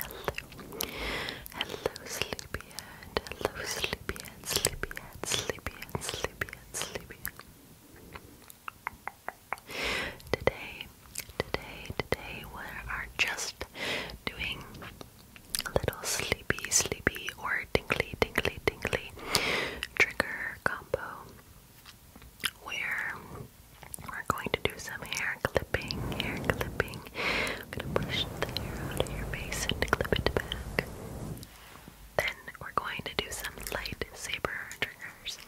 Hello. Hello, sleepyhead. Hello, sleepyhead, sleepyhead, sleepyhead, sleepyhead, sleepyhead. Today, today, today, we are just doing a little sleepy, sleepy, or tingly, tingly, tingly trigger combo where we're going to do some hair clipping, hair clipping. I'm going to push the hair out of your face and clip it back. Then we're going to do some lightsaber triggers.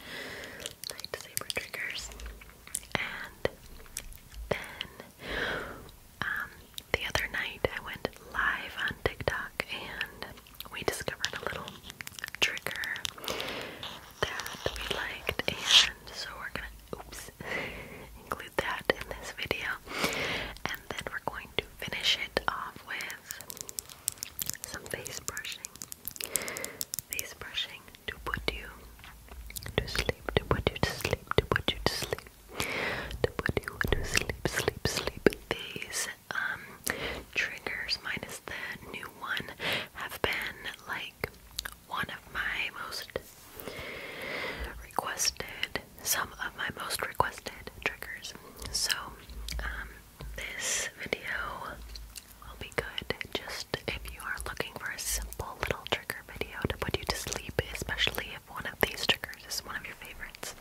Lightsaber triggers. And then um, the other night I went live on TikTok and we discovered a little trigger that we liked, and so we're gonna oops include that in this video, and then we're going to finish it off with some face brushing. Face brushing to put you to sleep, to put you to sleep, to put you to sleep, to put you to sleep, sleep, sleep. These um triggers minus the new one have been like one of my most requested, some of my most requested triggers. So, um, this video will be good just if you are looking for a simple little trigger video to put you to sleep, especially if one of these triggers is one of your favorites.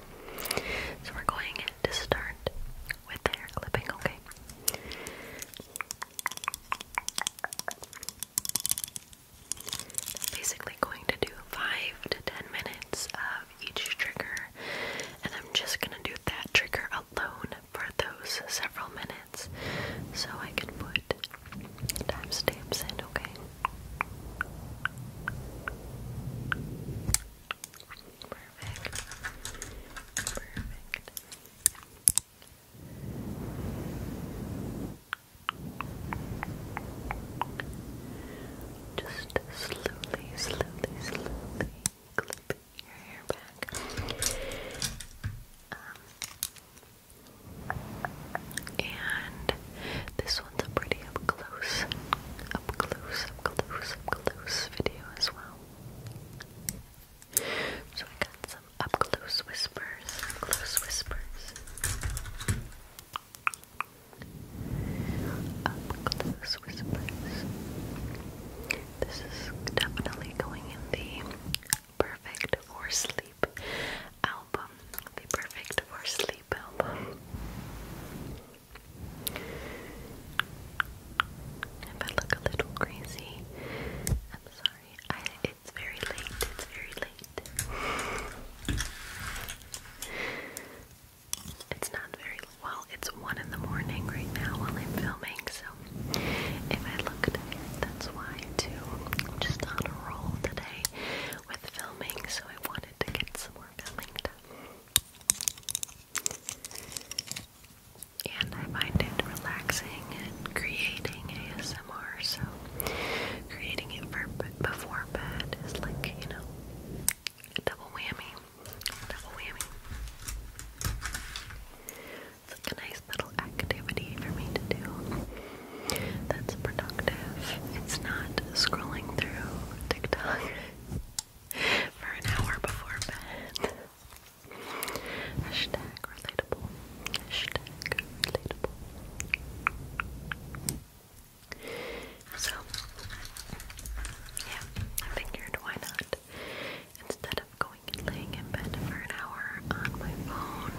So, we're going to start with hair clipping, okay? Basically, going to do five to ten minutes of each trigger, and I'm just gonna do that trigger alone for those several minutes so I can put timestamps in, okay? Perfect. Perfect. Just slowly, slowly, slowly clip your hair back. Um, and this one's a pretty up close, up close, up close, up close video as well. So I got some up close whispers, close whispers, up close whispers. This is definitely going in the perfect for sleep album, the perfect for sleep album. If I look a little crazy, I'm sorry. it's very late. It's very late. It's not very well. It's one in the morning right now while I'm filming, so if I look tired, that's why too. I'm just on a roll today with filming, so I wanted to get some more filming done. And I find it relaxing and creating ASMR, so creating it before bed is like, you know, double whammy. double whammy. It's like a nice little activity for me to do that's productive. It's not scrolling through TikTok for an hour before bed. Hashtag relatable. Hashtag relatable. So, yeah, I figured why not? Instead of going and laying in bed for an hour on my phone,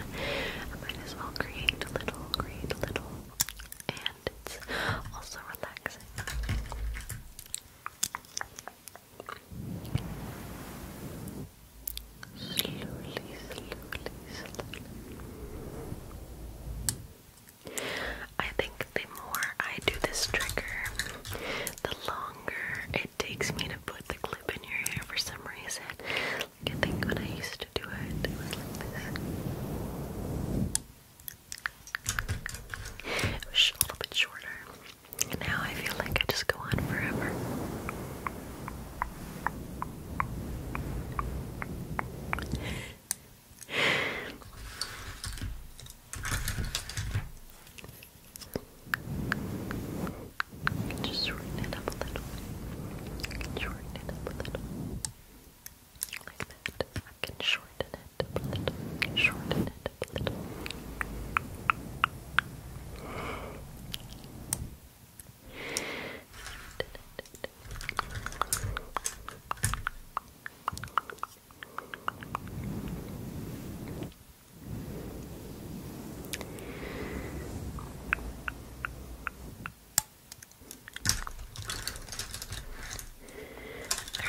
I might as well create a little, create a little, and it's also relaxing. Slowly, slowly, slowly. I think the more I do this trigger, the longer it takes me to put the clip in your hair for some reason. I think when I used to do it, It was a little bit shorter. And now I feel like I just go on forever. Just shorten it up a little. Shorten it up a little. Like that. I can shorten it Shorten it I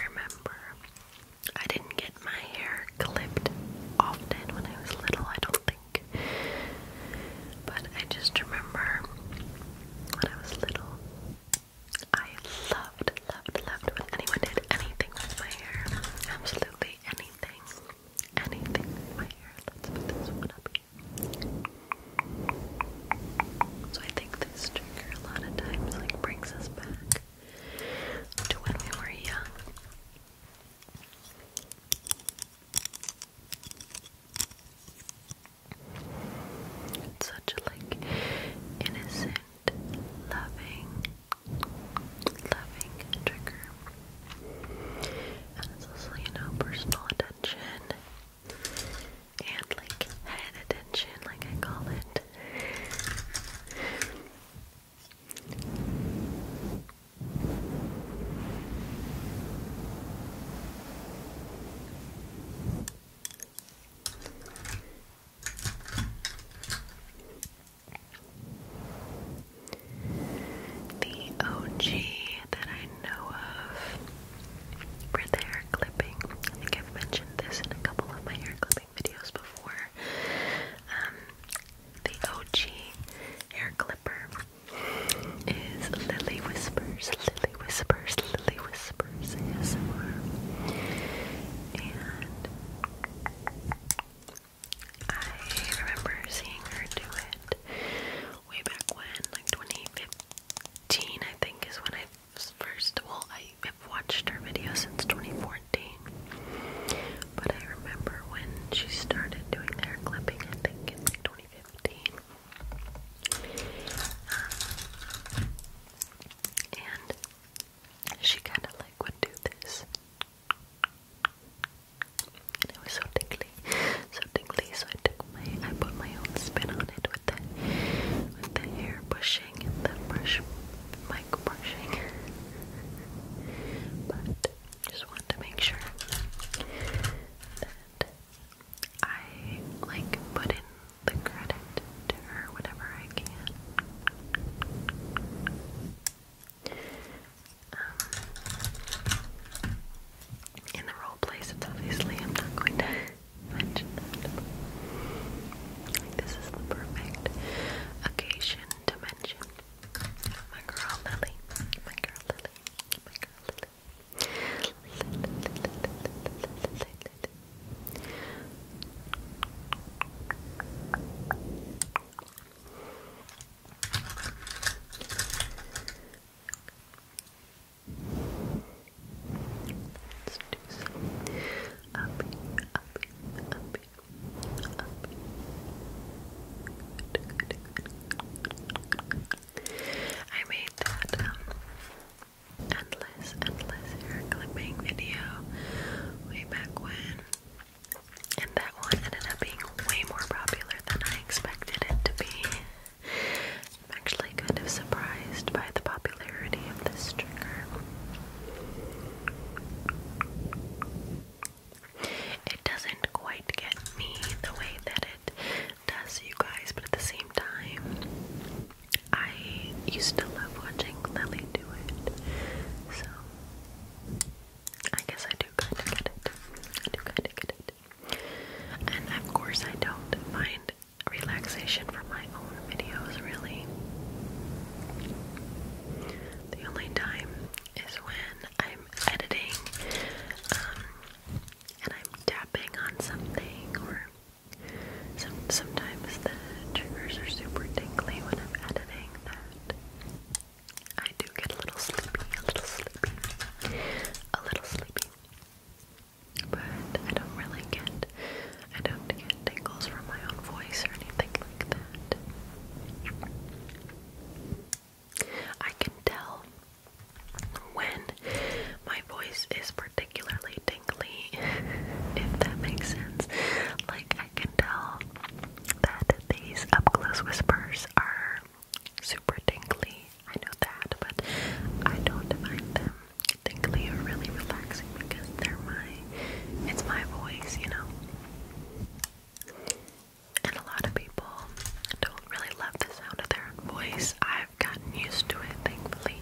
remember I didn't get my hair clipped often when I was little, I don't think. But I just remember when I was little, I loved, loved, loved when anyone did anything with my hair. Absolutely anything. Anything my hair. Let's put this one up here. So I think this trigger a lot of times like brings us back back to when we were young. such like innocent, loving, loving trigger. And also, you know, personal attention and like head attention, like I call it. The OG that I know of for hair clipping, I think I've mentioned this in a couple of my hair clippings videos before. Um, the OG hair clipper is Lily Whispers, Lily Whispers, Lily Whispers ASMR. And I remember seeing her do it way back when, like 2015, I think is when I first of all, I have watched her videos since 2014, but I remember when she started doing hair clipping, I think in 2015. Um, and she kind of like would do this. And it was so tingly, so tingly. So I took my, I put my own spin on it with the with the hair bush brushing brush mic brushing. but just want to make sure that I like put in the credit to her whenever I can. Um, in the role plays, obviously I'm not going to mention that. Like this is the perfect occasion to mention my girl Lily. My girl Lily. My girl Lily. Let's do some up here, up here, up here, up here. Good, good, good. I made that um, endless, endless hair clipping video way back when, and that one ended up being way more popular than I expected it to be. I'm actually kind of surprised by the popularity of this trigger. It doesn't quite get me the way that it does you guys, but at the same time, I used to love watching Lily do it. So, I guess I do kind of get it. I do kind of get it. And of course, I don't find relaxation from my own videos, really. The only time is when I'm editing um, and I'm tapping on something, or sometimes the triggers are super tingly when I'm editing that. I do get a little sleepy, a little sleepy, a little sleepy. But I don't really get I don't get tingles from my own voice or anything like that. I can tell when my voice is particularly tingly, if that makes sense. Like, I can tell that these up close whispers are super tingly. I know that, but I don't find them tingly are really relaxing because they're my it's my voice, you know. And a lot of people don't really love the sound of their own voice. I've gotten used to it, thankfully.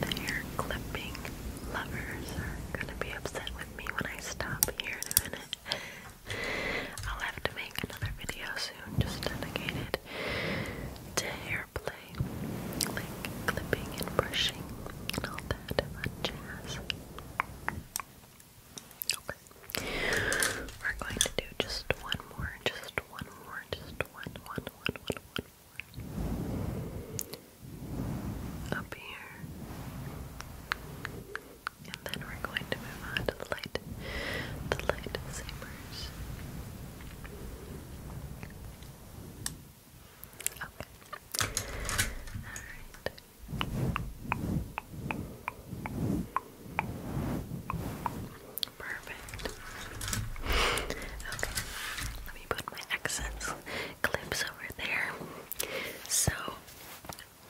The clipping lovers are gonna be upset with me when I stop here in a minute. I'll have to make another video soon just dedicated to hair play, like clipping and brushing and all that fun jazz. Okay. We're going to do just one more, just one more, just one, one, one, one, one more up here. And then we're going to move on to the light, the light sabers. Okay. Alright. Perfect. Okay. Let me put my accents clips over there. So,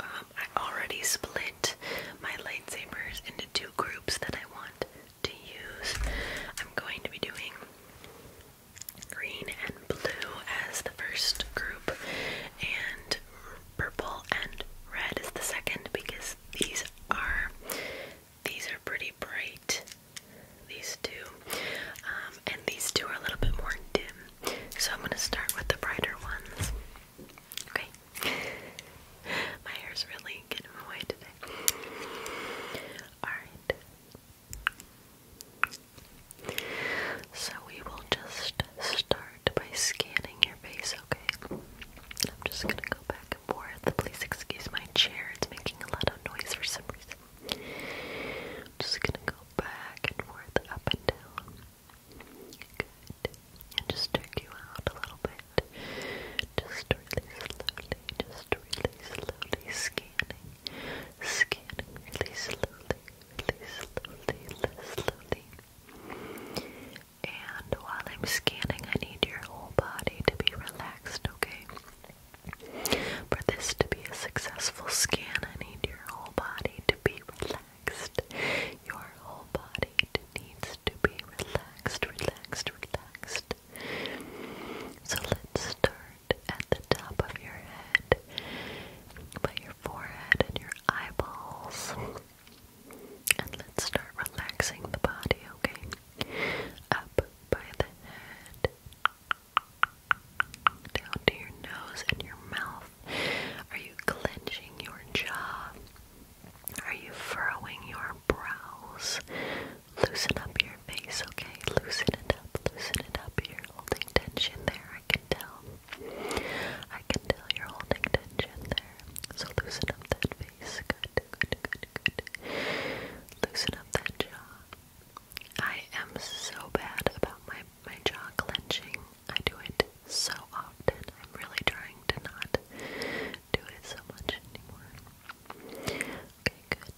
um, I already split my lightsabers into two groups that I want to use. I'm going to be doing green and blue as the first group, and purple and red is the second because these are these are pretty bright these two, um, and these two are a little bit more dim. So I'm gonna start with the brighter ones. Okay, my hair's really getting away today. All right. So we will just start by scanning your face. Okay. I'm just gonna go back and forth. Please excuse my chair; it's making a lot of noise for some reason just gonna go back and forth, up and down. Good. And just jerk you out a little bit. Just really slowly, just really slowly scanning. Scanning really slowly, really slowly, really slowly. And while I'm scanning, I need your whole body to be relaxed, okay? For this to be a successful scan, I need your whole body to be relaxed. Your whole body needs to be relaxed, relaxed, relaxed. So let's start at the top of your head, by your forehead and your eyeballs. And let's start relaxing the body, okay? Up by the head, down to your nose and your mouth. Are you clenching your jaw? Are you furrowing your brows? Loosen up your face, okay? Loosen it up, loosen it up. You're holding tension there, I can tell. I can tell you're holding tension there. So loosen up that face. Good, good, good, good. Loosen up that jaw. I am so bad about my my jaw clenching. I do it so often. I'm really trying to not do it so much anymore. Okay, good.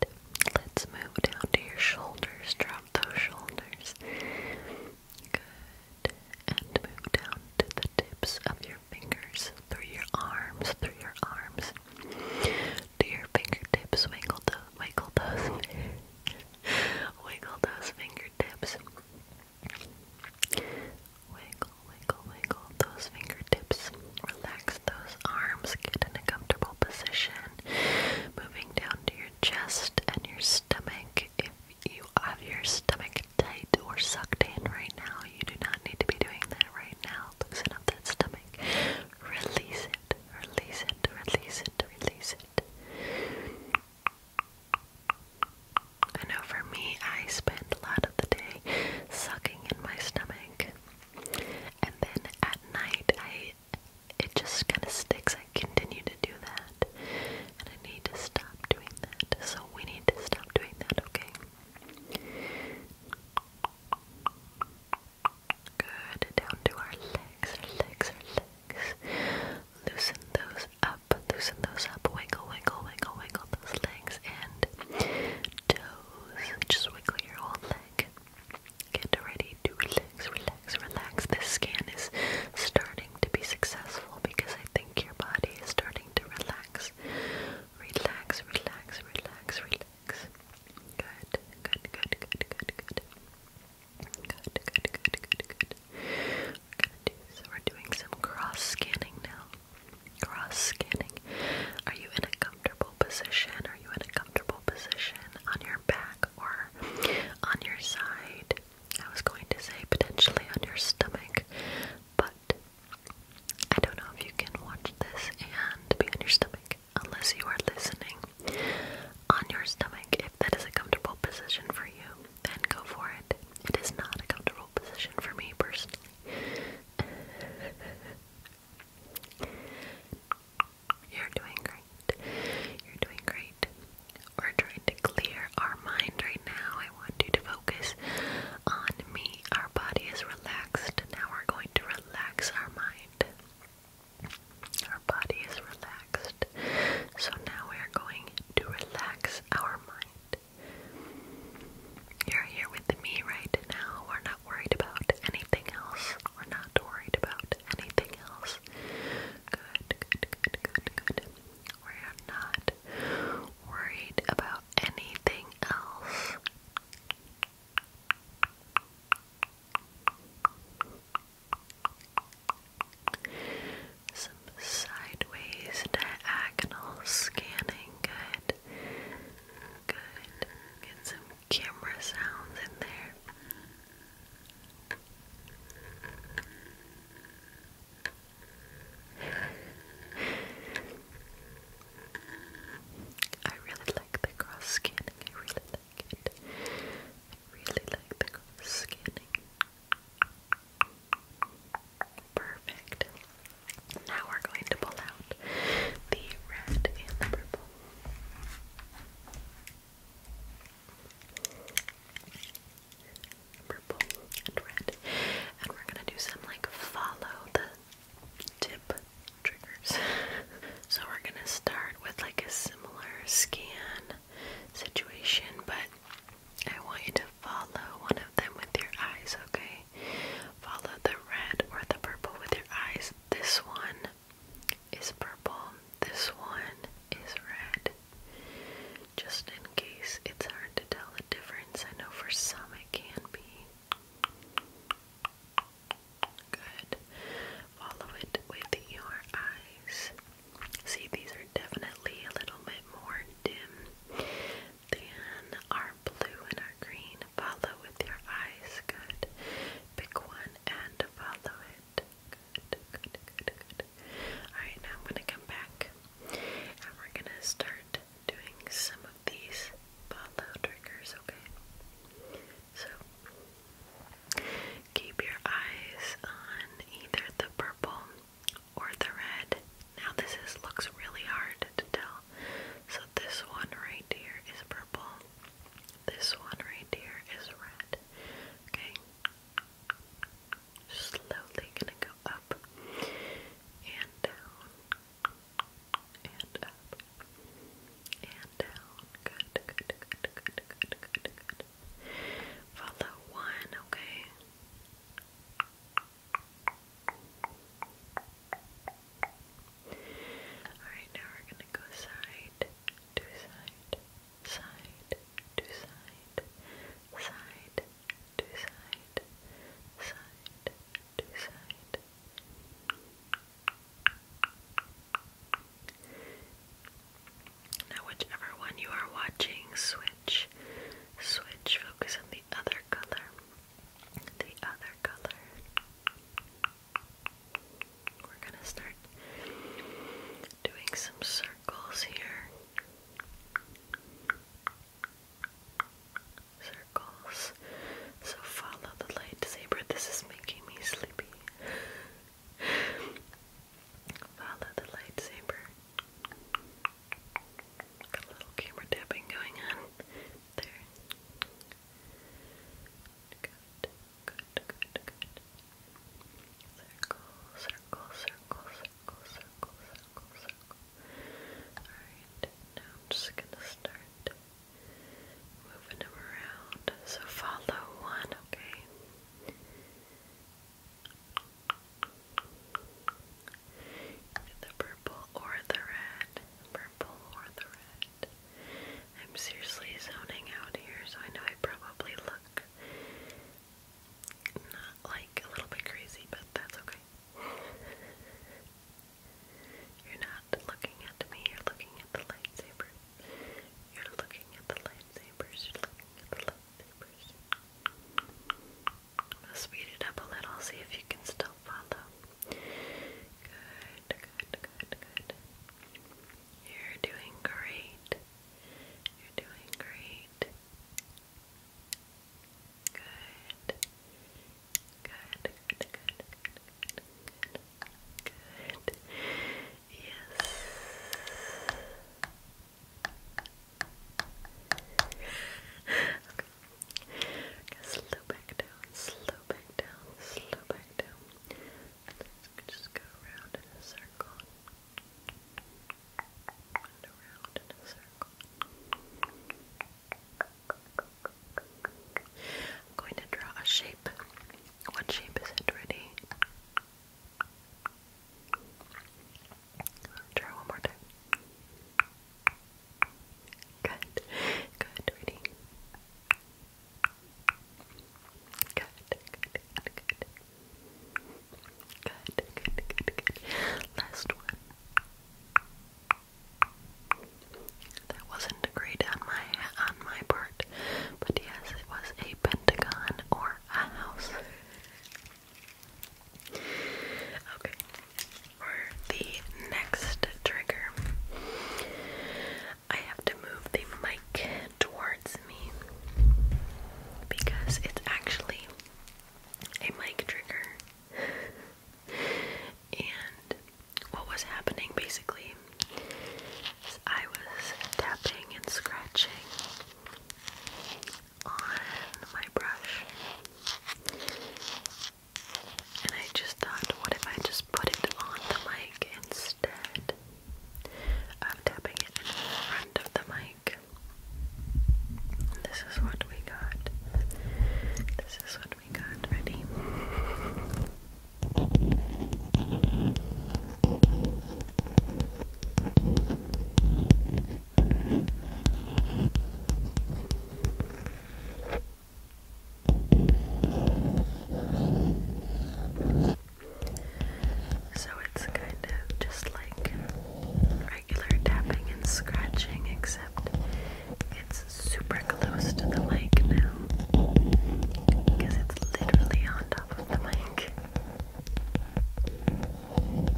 Let's move down to your shoulders. Drop those shoulders. Good. And move down to the tips of your fingers, through your arms, through your arms. Do your fingertips wiggle those, wiggle those wiggle those fingertips. Wiggle, wiggle, wiggle those fingertips. Relax those arms. Get in a comfortable position. Moving down to your chest and your stomach. If you have your stomach tight or sucked in right now, you do not need to be doing that right now. Loosen up that stomach. Release release it, release it, release it. I know for me, I spend a lot of the day sucking in my stomach, and then at night, I it just kind of sticks. I continue to do that, and I need to stop doing that. So we need to stop doing that, okay? Good. Down to our legs, our legs, our legs. Loosen those up, loosen those up. Wiggle, wiggle, wiggle, wiggle those legs and toes. Just wiggle your whole leg. Get ready to relax, relax, relax. This scan is starting to be successful because I think your body is starting to relax. Relax, relax, relax, relax things. Good, good, good, good, good, good. Good, good, good, good, good. so we're doing some cross scanning now. Cross scanning. Are you in a comfortable position? Are you in a comfortable position on your back or on your side? I was going to say potentially on your stomach, but I don't know if you can watch this and be on your stomach unless you are listening on your stomach. If that is a comfortable position for you, then go for it. It is not a comfortable position for me personally. You're doing great. You're doing great. We're trying to clear our mind right now. I want you to focus on me. Our body is relaxed. Now we're going to relax our mind. Our body is relaxed, so now we are going to relax our mind. You're here with me right now. We're not worried about anything else. We're not worried about anything else. Good, good, good, good, good. We are not worried about anything else. Some sideways diagonal scanning. Good. Good. Get some camera sounds in there. I really like the cross scanning. I really I really like the scanning. Perfect. Now we're going to pull out the red and the purple. Purple and red. And we're gonna do some like follow the tip triggers. so we're gonna start with like a similar scan situation, but I want you to follow one of them with your eyes, okay? Follow the red or the purple with your eyes. This one is purple, this one is red. Just in case it's hard to tell the difference, I know for some it can be. Good. Follow it with your eyes. See, these are definitely a little bit more dim than our blue and our green. Follow with your eyes. Good. Pick one and follow it. Good, good, good, good. Alright, now I'm going to come back and we're going to start doing some of these follow triggers, okay? So keep your eyes on either the purple or the red. Now this looks really hard to tell. So this one right here is purple. This one right here is red. Okay. Slowly gonna go up and down and up and down. Good, good, good, good, good, good, good. Follow one, okay? Alright, now we're gonna go side to side, side to side, side to side, side now, whichever one you are watching, switch, switch, focus on the other color, the other color. We're gonna start doing some circles here circles. So follow the lightsaber. This is making me sleepy. follow the lightsaber. Got a little camera tapping going on there. Good, good, good, good. Circle, circle, circle, circle, circle, circle, circle. Alright, now I'm just gonna start moving them around. So follow one, okay? The purple or the red. Purple or the red. I'm seriously zoning out here, so I know I probably look not like a little bit crazy, but that's okay. You're not looking at me, you're looking at the lightsaber. You're looking at the lightsabers, you're looking at the lightsabers. I'm speed it up a little, see if you can still follow. Good, good, good, good. You're doing great. You're doing great. Good. Good, good, good, good, good, good. Yes. Okay. Okay, slow back down, slow back down, slow back down. Let's just go around in a circle. around in a circle going to draw a shape. What shape is it, ready? i one more time. Good. Good, ready? Good, good, good, good. Good, good, good, good. Last one. That wasn't agreed on my on my part, but yes, it was a pentagon or a house. Okay, for the next trigger, I have to move the mic towards me because it's actually a mic trigger, and what was happening basically I was tapping and scratching on my brush. And I just thought, what if I just put it on the mic instead of tapping it in front of the mic? this is what we got. This is what what we got ready. So it's kind of just like regular tapping and scratching, except it's super close to the mic now because it's literally on top of the mic. And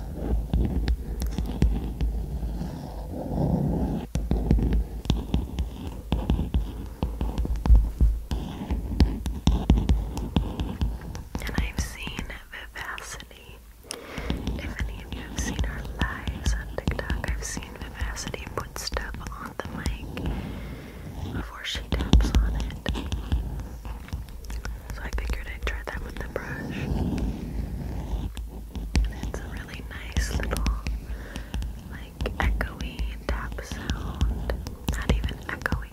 I've seen Vivacity. If any of you have seen our lives on TikTok, I've seen seen Vivacity put stuff on the mic before she taps on it. So I figured I'd try that with the brush. it's a really nice little, like, echoey tap sound. Not even echoey.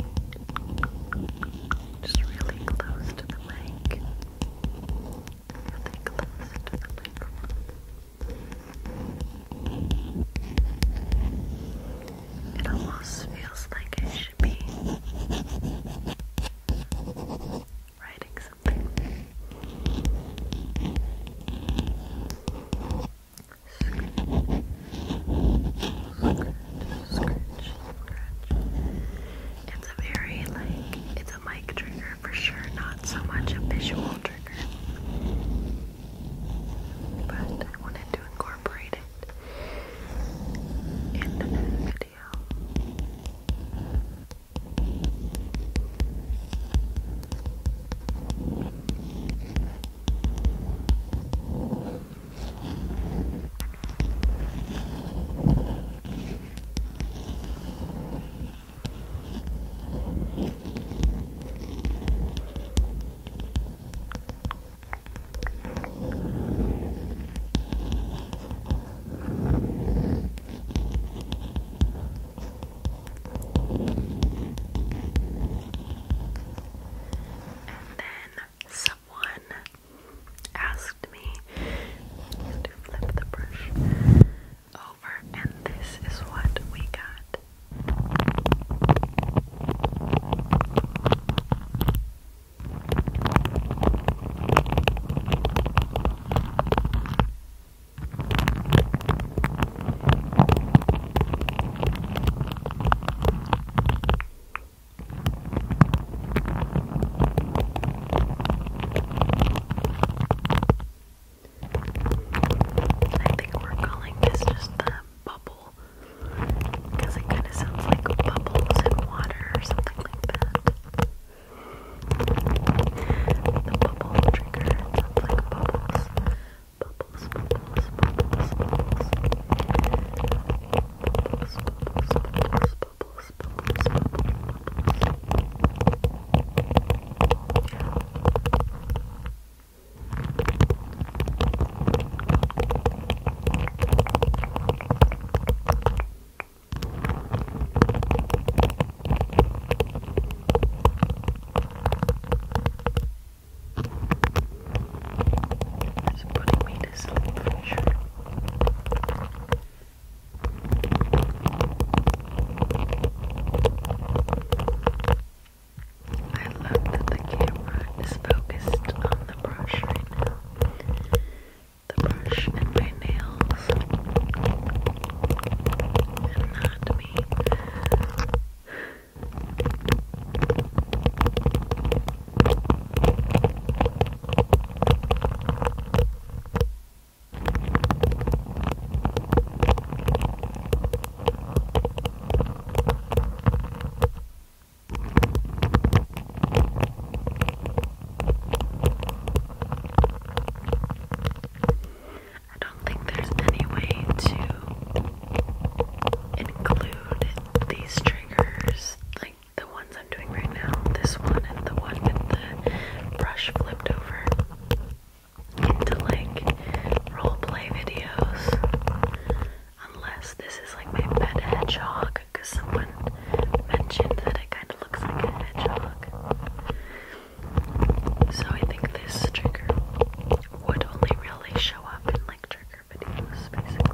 Just really close to the mic. Really close to the microphone. It almost feels like it should be writing something. Scratch, scratch, scratch. It's a very like, a mic trigger for sure, not so much a visual trigger. But I wanted to incorporate it into this video then someone asked me to flip the brush and this is what we got. I think we're calling this just the bubble because it kind of sounds like bubbles in water or something like that. The bubble trigger sounds like bubbles. Bubbles, bubbles, bubbles, bubbles. Bubbles, bubbles, bubbles, bubbles. It's putting me to sleep for sure. I love that the camera is focused on the brush right now. The brush and my nails. And not me. I don't think there's any way to include these triggers, like the ones I'm right now. This one and the one with the brush flipped over into like role play videos. Unless this is like my pet hedgehog, because someone mentioned that it kind of looks like a hedgehog. So I think this trigger would only really show up in like trigger videos, basically.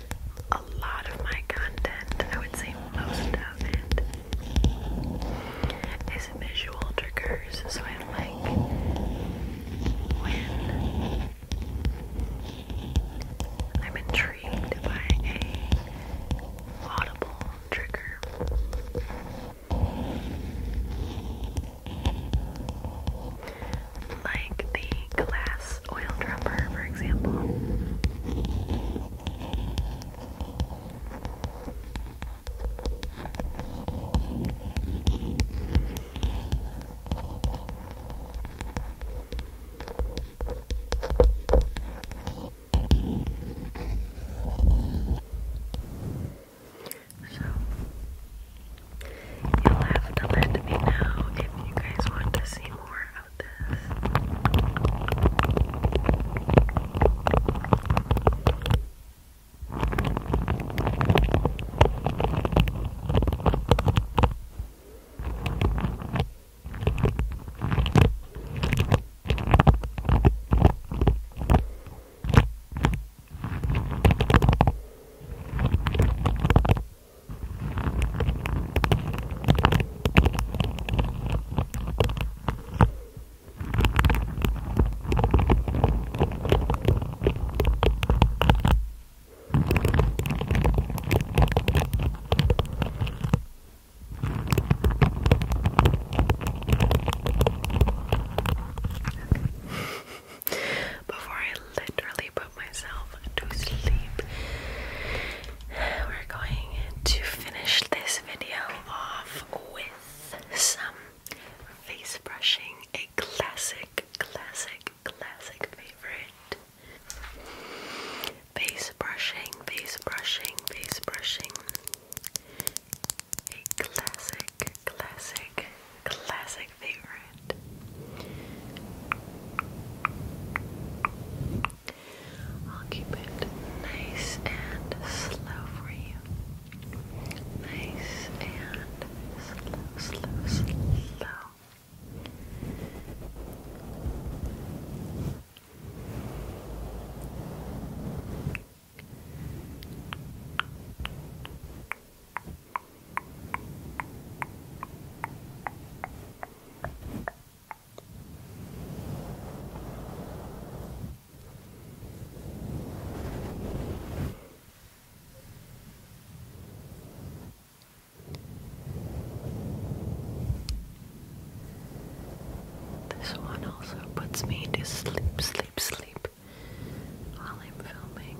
a lot of my content, I would say most of it, is visual triggers. So I'm like, when I'm intrigued by a audible trigger like the glass oil dropper, for example. So You'll have to let me know if you guys want to see more of this. Before I literally myself to sleep. We're going to finish this video off with some face brushing, a classic, classic, classic favorite. Face brushing, face brushing, face brushing. A classic, classic, classic favorite. I'll keep it nice and slow for you. Nice and slow, slow, slow. This one also puts me to sleep, sleep, sleep while I'm filming.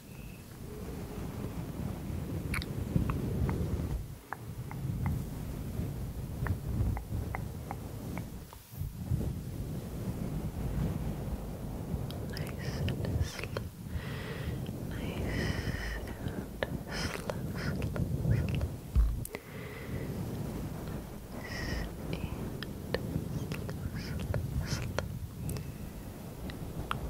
Nice and slow. Nice and slow, slow, slow. Nice and slow, slow, slow.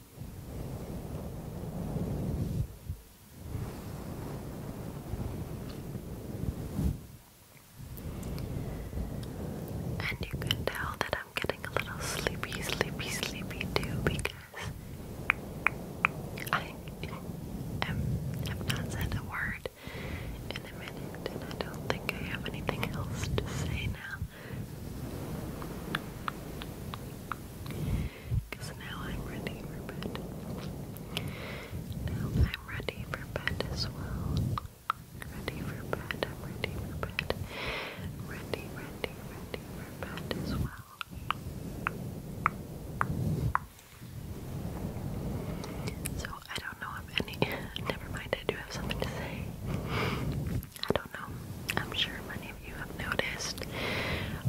And you can tell that I'm getting a little sleepy, sleepy, sleepy too because I am not said a word in a minute and I don't think I have anything else to say now. Because now I'm ready for bed. I'm ready for bed as well. Ready for bed, I'm ready for bed. Ready, ready, ready for bed as well. So I don't know if any. Never mind, I do have something to say. I don't know. I'm sure many of you have noticed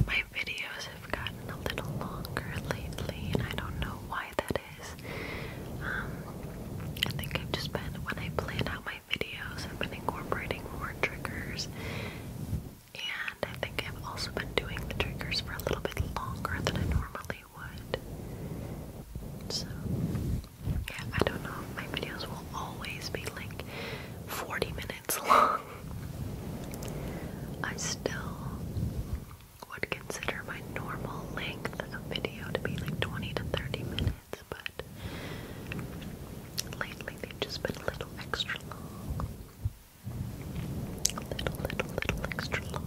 my videos have gotten a little longer lately, and I don't know why that is. Um, I think I've just been, when I plan out my videos, I've been incorporating more triggers, and I think I've also been doing the triggers for a little bit longer than I normally would. So, yeah, I don't know if my videos will always be like 40 minutes long. I still would consider my normal length of video to be like 20 to 30 minutes, but lately they've just been a little extra long. A little, little, little extra long.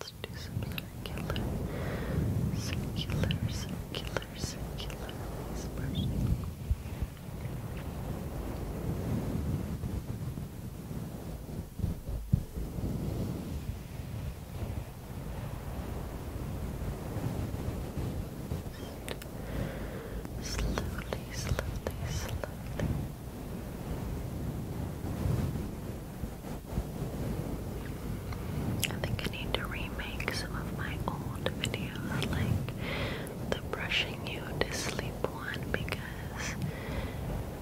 Let's do some circular, circular, circular, circular dispersion. Slowly, slowly, slowly. I think I need to remake some of my old videos, like the brushing you to sleep one, because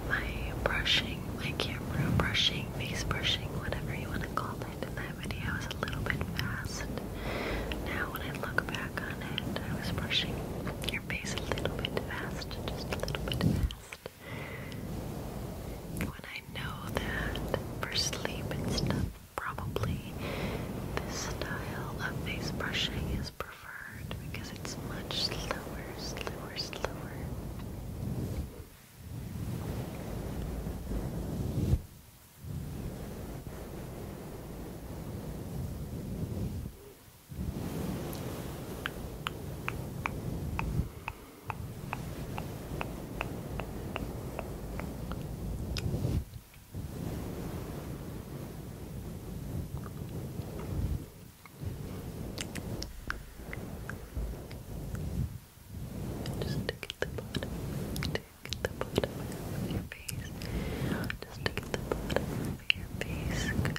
my brushing, my camera brushing, face brushing, whatever you want to call it, in that video was a little bit fast. Now, when I look back on it, I was brushing your face a little bit fast, just a little bit when I know that for sleep it's stuff, probably the style of face brushing is preferred because it's much slower, slower, slower. Just to get the bottom, to get the bottom of your face. Just to get the bottom of your face. Good.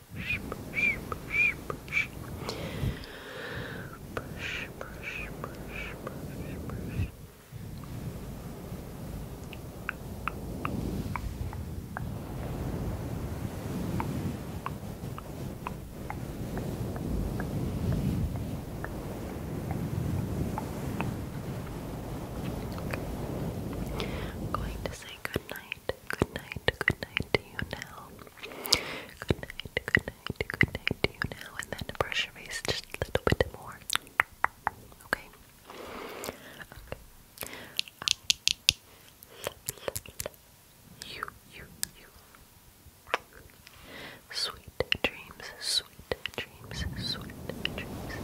brush, brush, brush, brush. Brush, going to say good night, good night, good night to you now. Good night, good night, good night now, and then brush your face just a little bit more. Okay. You, you, you. Sweet dreams, sweet dreams, sweet dreams.